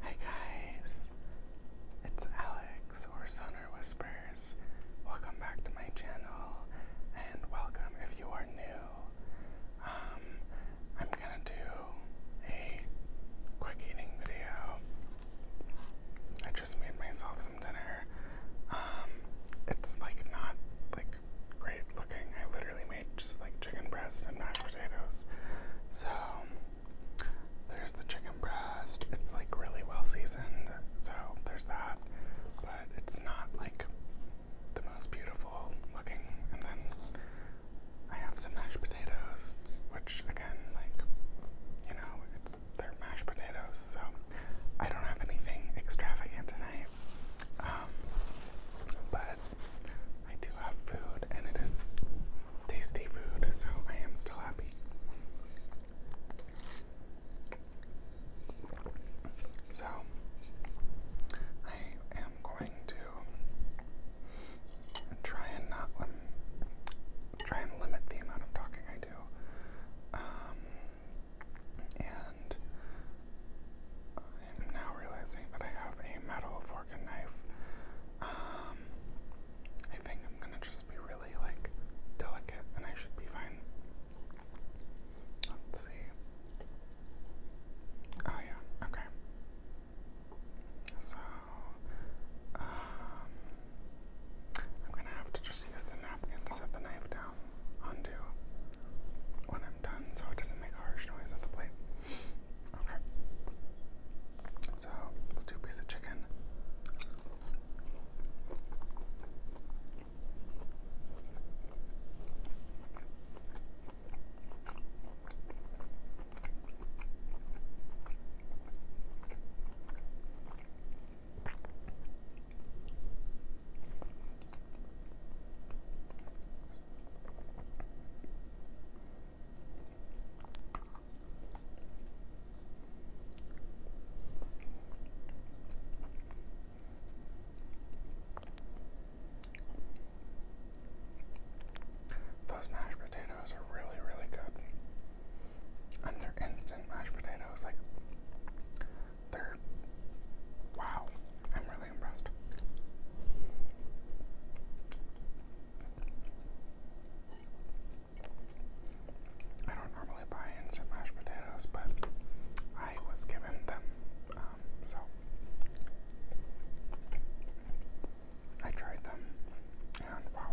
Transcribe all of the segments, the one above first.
Hi guys, it's Alex or Sonar Whispers. Welcome back to my channel and welcome if you are new. Um, I'm gonna do a quick eating video. I just made myself some dinner. Um, it's like not like great looking. I literally made just like chicken breast and mashed potatoes. So there's the chicken breast. It's like really well seasoned. So there's that. But it's not like the most beautiful looking. And then I have some mashed potatoes, which again, like, you know, it's they're mashed potatoes. So I don't have anything extravagant tonight. Um, but I do have food and it is tasty food, so I am still happy. So, I am going to try and not try and limit the amount of talking I do. Um, and I'm now realizing that I have a metal fork and knife. Um, I think I'm gonna just be really like delicate, and I should be fine. Let's see. Oh yeah, okay. So, um, I'm gonna have to just use the napkin to set the knife down onto when I'm done so it doesn't make a harsh noise on the plate. Okay. So we'll of chicken. Those mashed potatoes are really, really good. And they're instant mashed potatoes. Like, they're wow, I'm really impressed. I don't normally buy instant mashed potatoes, but I was given them, um, so I tried them, and wow,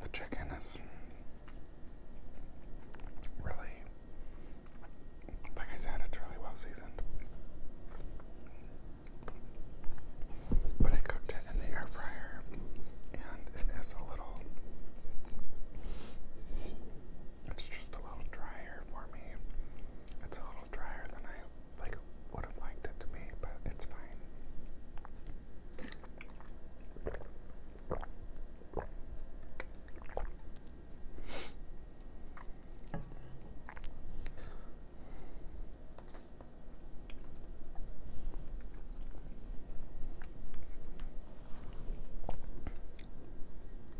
The chicken is really, like I said, it's really well seasoned. But I cooked it in the air fryer, and it is a little, it's just a little dry for me. It's a little drier than I like would have liked it to be, but it's fine.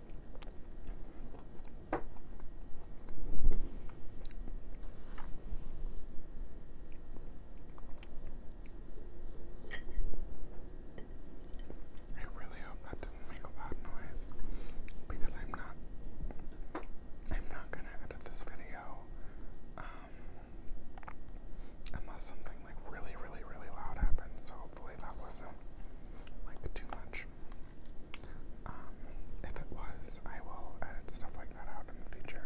I really hope that didn't make a loud noise because I'm not I'm not gonna edit this video um, unless something like really really really loud happens hopefully that wasn't like too much. Um, if it was, I will edit stuff like that out in the future.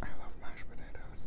I love mashed potatoes.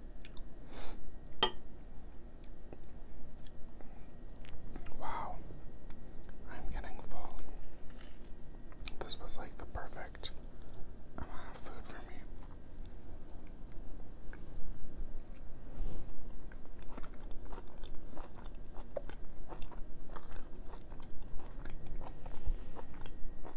Wow, I'm getting full. This was like the perfect amount of food for me.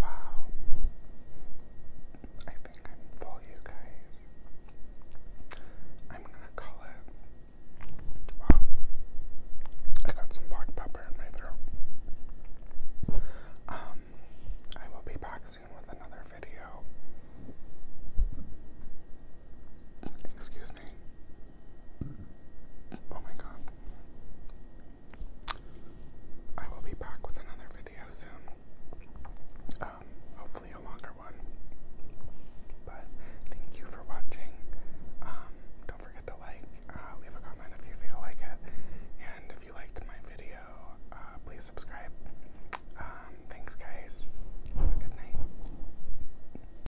Wow. I think I'm full, you guys. I'm gonna call it. Wow. I got some black pepper in my throat. Um, I will be back soon with another video. Excuse me. Oh my god. I will be back with another video soon. Um, hopefully a longer one. But thank you for watching. Um, don't forget to like, uh, leave a comment if you feel like it. And if you liked my video, uh, please subscribe. Um, thanks guys. Have a good night.